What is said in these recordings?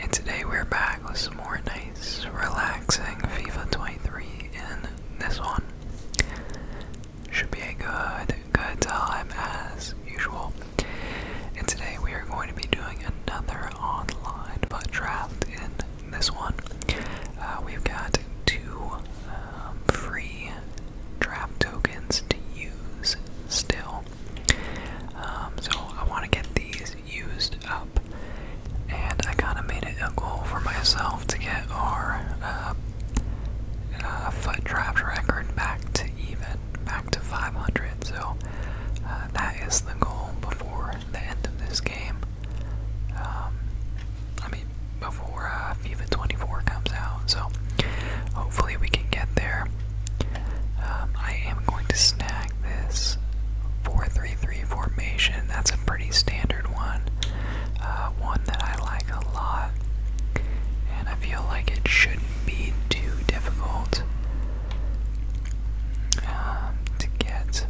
And today we're back with some more nice, relaxing FIFA 23 in this one. Should be a good, good time as usual. And today we are going to be doing another online but draft in this one. Uh, we've got two um, free draft tokens to use still. Um, so I want to get these used up, and I kind of made it a goal for myself to get our uh, uh, foot traps record back to even, back to 500. So uh, that is the goal before the end of this game. Um, I mean, before uh, FIFA 24 comes out. So hopefully we can get there. Um, I am going to snag this 4 formation. That's a pretty standard one, uh, one that I like a lot, and I feel like it shouldn't be too difficult um, to get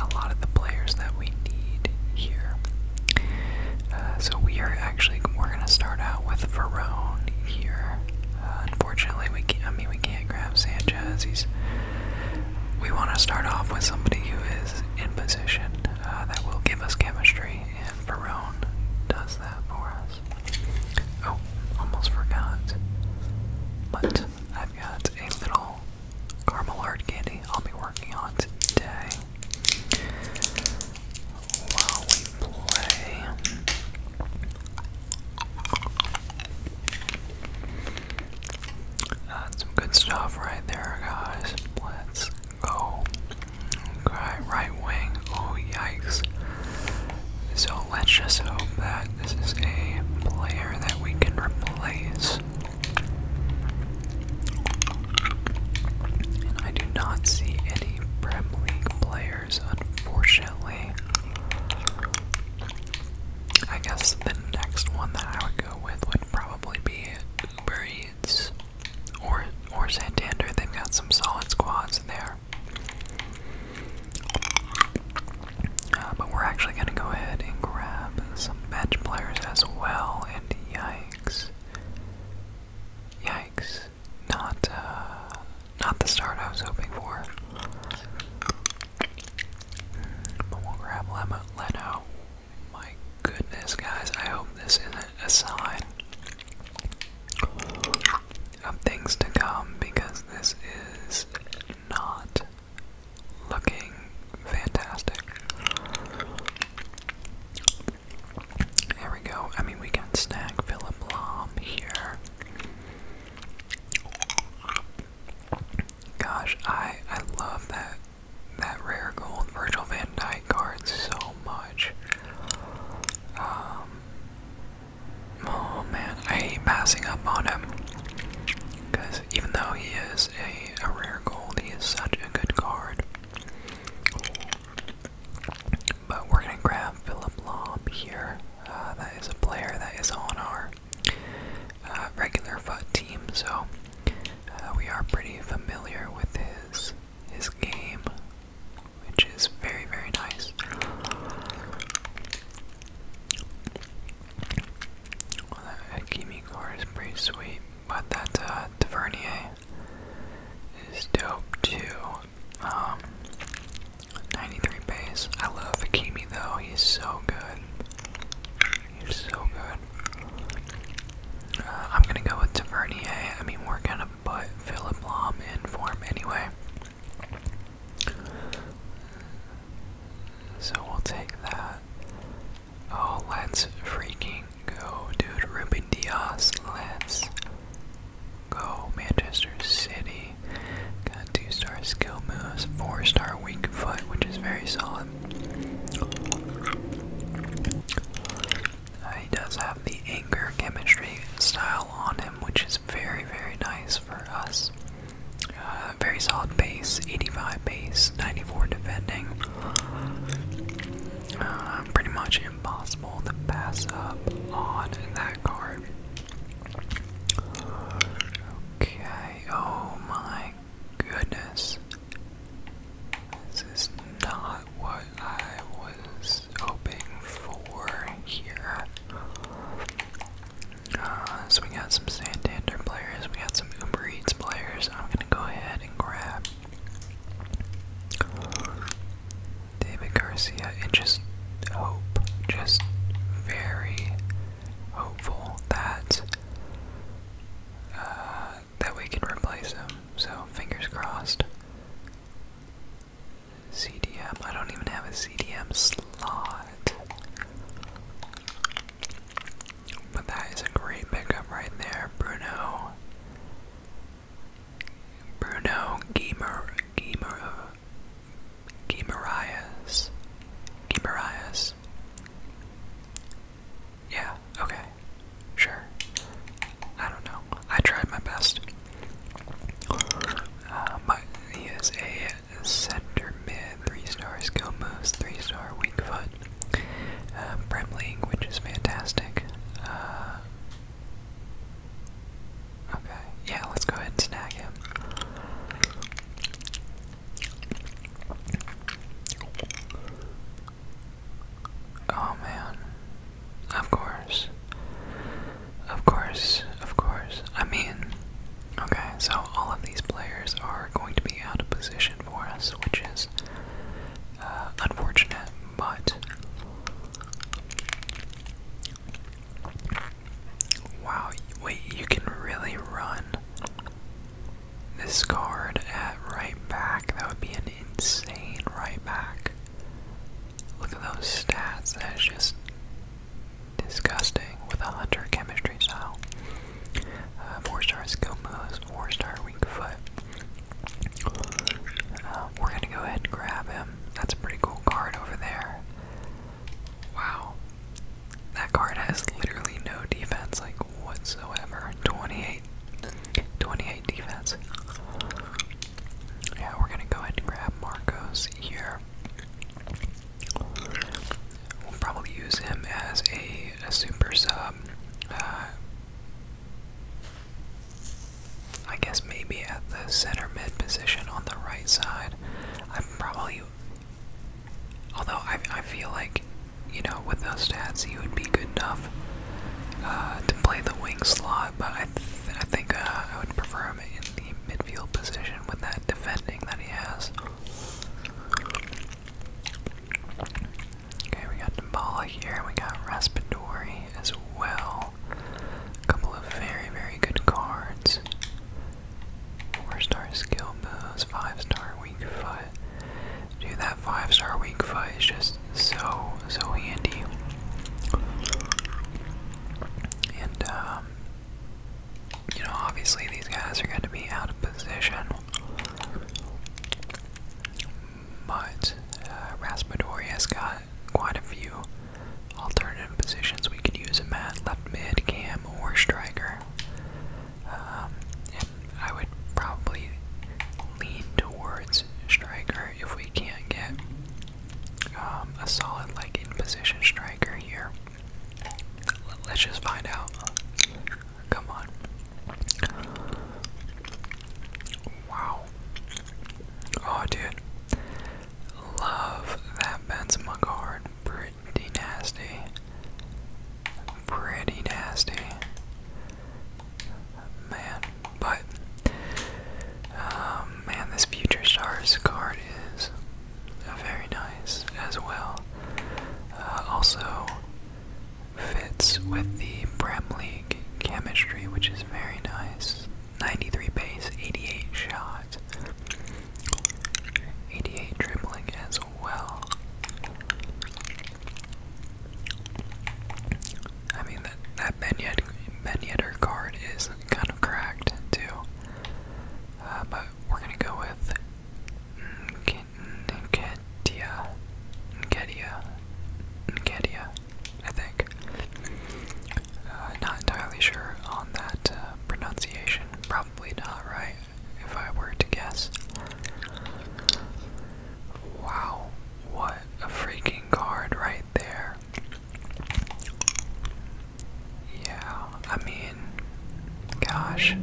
a lot of the players that we need here. Uh, so we are actually we're gonna start out with Verone here. Uh, unfortunately, we can't, I mean, we can't grab Sanchez. He's. We want to start off with somebody who is in position uh, that will give us chemistry, and Verone does that for us. Oh, almost forgot. But I've got a little caramel art candy I'll be working on today. That's good stuff right there, guys. let go. right wing. Oh, yikes. So let's just hope that this is a player that we can replace. And I do not see any Premier League players unfortunately. I guess the next one that I would go with would probably be Uber or or Santander. They've got some solid squads in there. Uh, but we're actually gonna go ahead and grab some bench players as well. And yikes, yikes! not uh, not the start I was hoping for. Hmm, but we'll grab Leno. My goodness, guys! I hope this isn't a sign of things to come because this is not looking fantastic. There we go. I mean, we got Snack Philip Lom here. Gosh, I I love that that rare gold Virgil Van Dyke card so much. Um, oh man, I hate passing up on him because even though he is a, a rare gold, he is such a good card. But we're going to grab Philip Lomb here. Uh, that is a player that is on our uh, regular foot team, so uh, we are pretty familiar with his his game, which is very very nice. Well, that is pretty sweet, but that Tavernier is dope too. Um, 93 base. I love Hakimi though. He's so good. He's so good. Uh, I'm gonna go with Tavernier. I mean, we're gonna put Philip Lahm in for anyway. So we'll take that. Oh, let's freaking go, dude. Ruben Diaz. let Go Manchester City. Got two star skill moves, four star weak foot, which is very solid. Uh, he does have the anger chemistry style on him, which is very, very nice for us. Uh, very solid base, 85 base, 94 defending. Uh, pretty much impossible to pass up on that card. Okay, oh my goodness. This is not what I was hoping for here. Uh, so we got some Santander players, we got some Uber Eats players. I'm gonna go ahead and grab David Garcia, and just hope, just very hopeful that uh, that we can replace him. So fingers crossed. CDM. I don't even have a CDM slot. But that is a great pickup right there, Bruno. Bruno Guimar Guimar Guimaraes. Guimaraes. Yeah, okay. Sure. I don't know. I tried my best. Uh, my, he is a center mid, three star skill moves, three star weak foot. Uh, Prem which is fantastic. Uh, Okay, yeah, let's go ahead and snag him. Oh man. Of course. Of course, of course. I mean, okay, so all of these players are going to be out of position for us, which is uh, unfortunate, but Wow, wait, you can really run this card at right back. That would be an insane right back. Look at those stats. That is just disgusting with a hunter chemistry style. Uh, four star skill moves, four star weak foot. Uh, we're gonna go ahead and grab him. That's a pretty cool card over there. Wow. That card has literally no defense, like whatsoever. 28. defense. Yeah, we're gonna go ahead and grab Marcos here. We'll probably use him as a, super sub. Uh, I guess maybe at the center mid position on the right side. I'm probably. Although I, I feel like, you know, with those stats, he would be good enough uh, to play the wing slot, but I, I think uh, I would prefer him in the midfield position with that defending that he has. Okay, we got Dembala here, we got Raspadori as well well. A couple of very, very good cards. Four-star skill moves, five-star weak foot. Dude, that five-star weak foot is just so, so handy. And, um, you know, obviously these guys are going to be out of position but uh, Raspadori has got quite a few alternative positions we could use him at left mid, cam, or striker. Um, and I would probably lean towards striker if we can't get um, a solid, like, in position striker here. Let's just find out. Come on. Wow. Oh, dude. Love that Benzema card. Pretty nasty. Pretty nasty. Man, but um, man, this Future Stars card is very nice as well. Uh, also fits with the Prem League chemistry, which is very nice. 93 base, 88 shots, 88 dribbling as well. I mean that that Benyed, Benyetter card is kind of cracked too, uh, but we're gonna go with Nkedia, Nkedia, Nkedia, I think. Uh, not entirely sure on that uh, pronunciation. Probably not right, if I were to guess. Wow, what a freaking card right there. Yeah, I mean, gosh.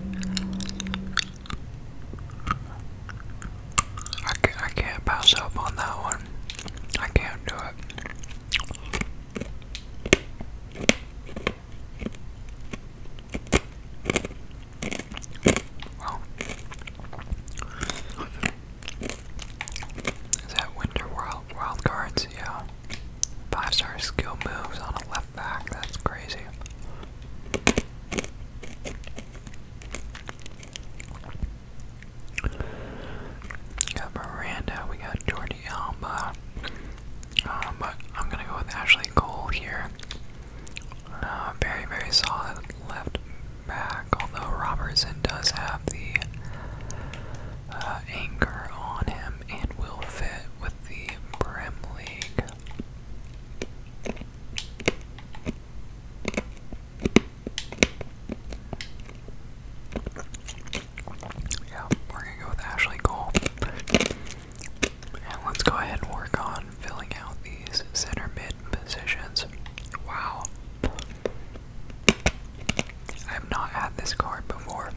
I can't, I pass up on that one. I can't do it. that Winter Wild Wild Yeah. Five star skill moves on a left back. That's crazy. We got Miranda, we got Jordi Alba. Um, but I'm gonna go with Ashley Cole here. Uh, very, very solid left back, although Robertson does have the uh, anchor on him and will fit with the Brem League. Yeah, we're gonna go with Ashley Cole. And let's go ahead and work on filling out these center mid positions. Wow. I have not had this card before.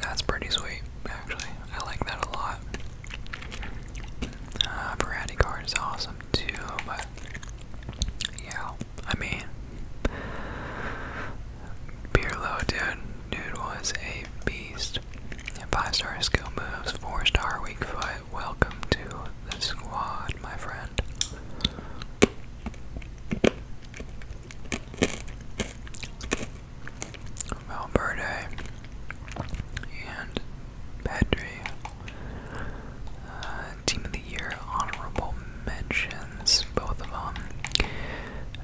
That's pretty sweet, actually. I like that a lot. Uh, variety card is awesome too, but yeah, I mean, Beerlo, dude, dude was a beast. Five star skill moves, four star weak foot. Welcome to the squad, my friend. Valverde and Pedri. Uh, team of the Year honorable mentions, both of them.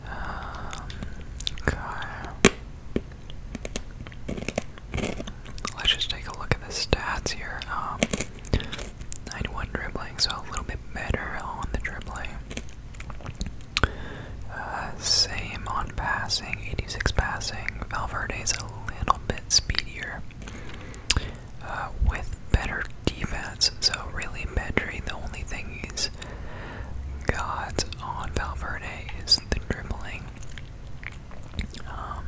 Um, Let's just take a look at the stats here. Um, 91 dribbling, so a little bit better on the dribbling. Uh, same on passing, 86 passing. is a little bit speedier. Uh, with better defense. So, really, Pedri, the only thing he's got on Valverde is the dribbling. Um,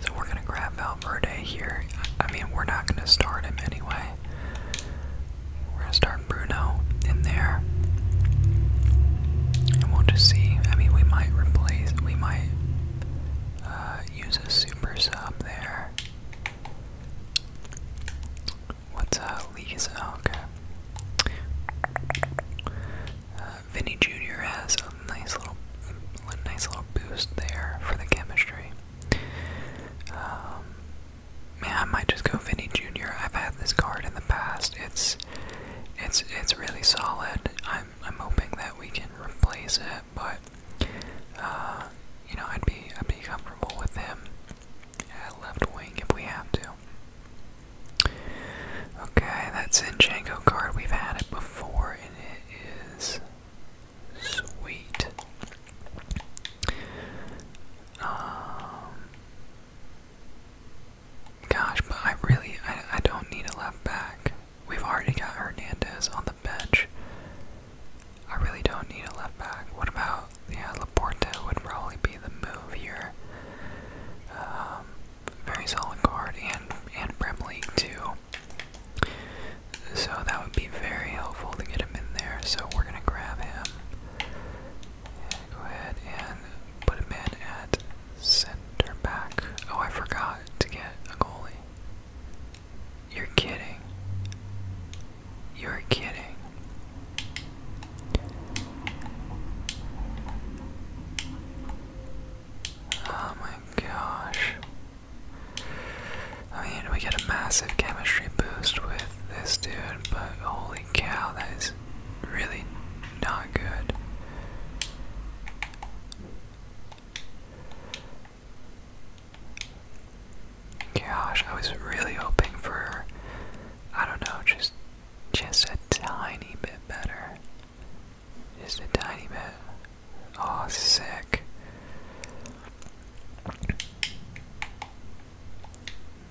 so, we're going to grab Valverde here. I mean, we're not going to start him anyway. We're going to start Bruno in there. And we'll just see. I mean, we might replace, we might uh, use a super sub there. What's uh, Lee's? Oh, okay. Uh, Vinny Jr. has a nice little, nice little boost there for the chemistry. Um, man, I might just go Vinny Jr. I've had this card in the past. It's, it's, it's really solid. I, I'm hoping that we can replace it, but uh, you know I'd be I'd be comfortable with him at left wing if we have to. Okay, that Zinchenko card we've had it before, and it is sweet. Um, Gosh, but I really I, don't need a left back. We've already got Hernandez on the bench. I really don't need a left back. What about yeah, Laporta would probably be the move here. Um, very solid guard and and Prem too. So that would be very helpful to get him in there. So we're gonna grab him. go ahead and put him in at Center back. Oh, I forgot to get a goalie. You're kidding. You're kidding. Oh my gosh. I mean, we get a massive chemistry boost with this dude, but holy cow, that is really not good. Gosh, I was really hoping for, I don't know, just just a tiny bit better. Just a tiny bit. Oh, sick.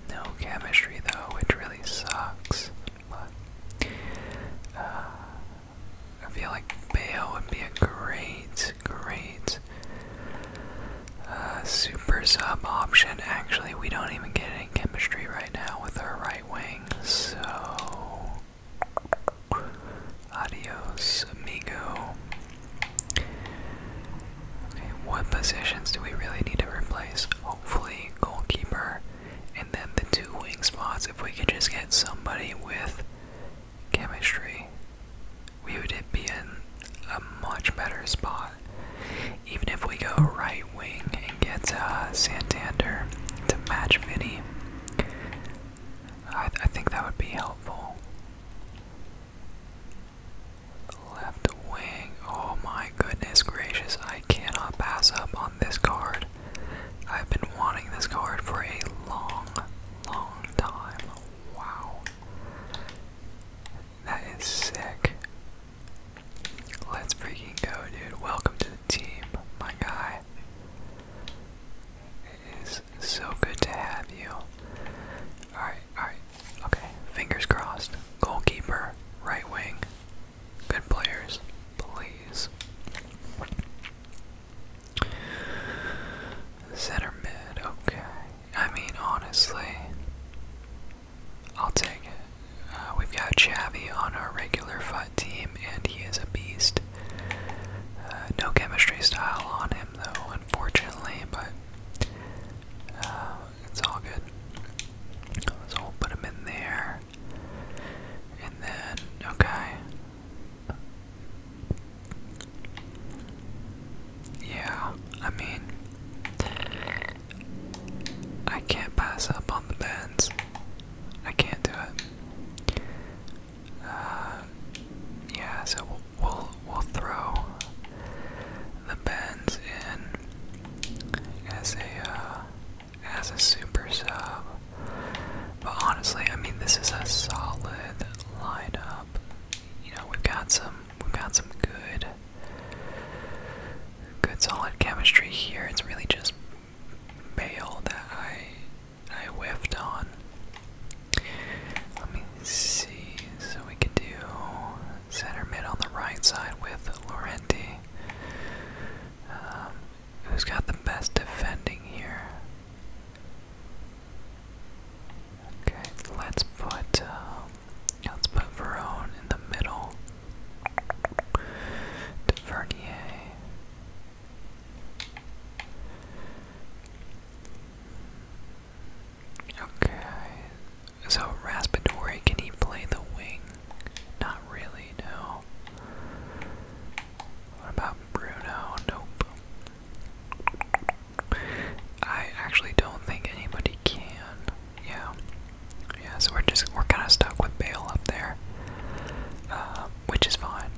No chemistry though, It really sucks. But uh, I feel like Bale would be a great, great uh, super sub option. Actually, we don't even get any chemistry right now with our right wing, so adios, amigo. Okay, what positions do we really need to replace? Hopefully, goalkeeper. And then the two wing spots, if we could just get somebody with chemistry, we would be in a much better spot. Even if we go right wing and get uh, Santander to match Vinny, I, think that would be helpful. Left wing, oh my goodness gracious, I cannot pass up on this card. I've been wanting this card for a long, long time. Wow. That is sick. Let's freaking go, dude. Welcome to the team, my guy. It is so good to have you. Alright, alright. Okay, fingers crossed. Goalkeeper, right wing, Good players, please. Center mid, okay. I mean, honestly, I'll take it. Uh, we've got Chavi on our regular foot team, and he is a beast. Uh, no chemistry style on him, though, unfortunately, but uh, it's all good. So we'll put him in there. And then, okay. Yeah, I mean, I can't pass up on the bends. I can't do it. Uh, yeah, so we'll we'll, throw the bends in as a uh, as a super sub. But honestly, I mean, this is a solid lineup. You know, we've got some, we've got some good, good solid chemistry here. It's really just Bale that I, I whiffed on. Let me see. So we could do center mid on the right side with Laurenti. Um, who's got the best defending here? Okay, let's put um, let's put Verone in the middle. Vernier. Okay, so Raspadori, can he play the wing? Not really, no. What about Bruno? Nope. I actually don't think anybody can. Yeah. Yeah, so we're just we're kinda stuck with Bale up there. Uh, which is fine.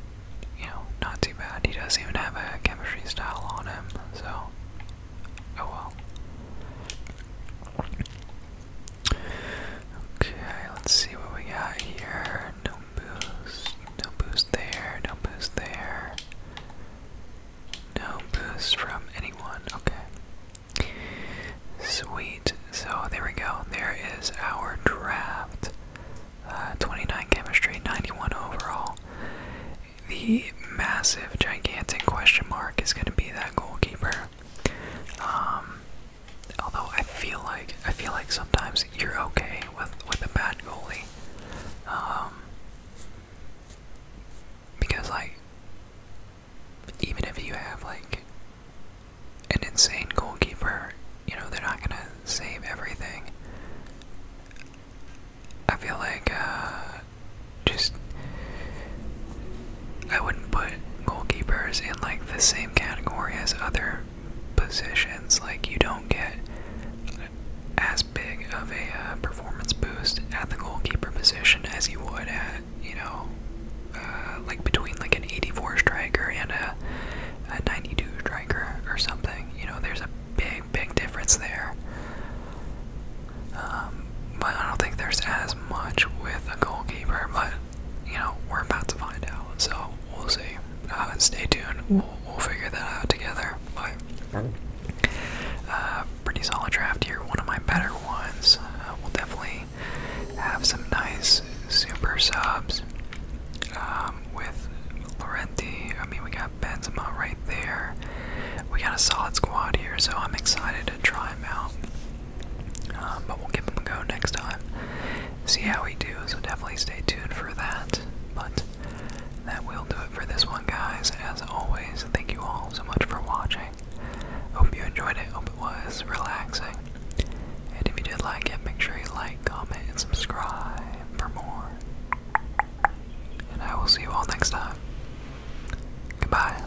You know, not too bad. He doesn't even have a chemistry style on him, so oh well. Okay, let's see what we got here. No boost, no boost there, no boost there. No boost from anyone, okay. Sweet, so there we go. There is our draft. Uh, 29 chemistry, 91 overall. The massive, gigantic question mark is going to be that goalkeeper. Um, Although I feel like I feel like sometimes you're okay with with a bad goalie, um, because like even if you have like an insane goalkeeper, you know they're not gonna save everything. I feel like uh, just I wouldn't put goalkeepers in like the same category as other positions. Like you don't get as big of a uh, performance boost at the goalkeeper position as you would at you know uh, like between like an 84 striker and a, a 92 striker or something. You know, there's a big big difference there. Um, but I don't think there's as much with a goalkeeper, but you know, we're about to find out. So we'll see. Uh, stay tuned. We'll, we'll figure that out together. But uh, pretty solid draft here. One of my better ones. Uh, we'll definitely have some nice super subs um, with Laurenti. I mean, we got Benzema right there. We got a solid squad here, so I'm excited to try him out. Um, but we'll give him a go next time. See how we do, so definitely stay tuned for that. But that will do it for this one, guys. As always, thank you all so much for watching. Hope you enjoyed it. Hope it was relaxing. And if you did like it, make sure you like, comment, and subscribe for more. And I will see you all next time. Goodbye.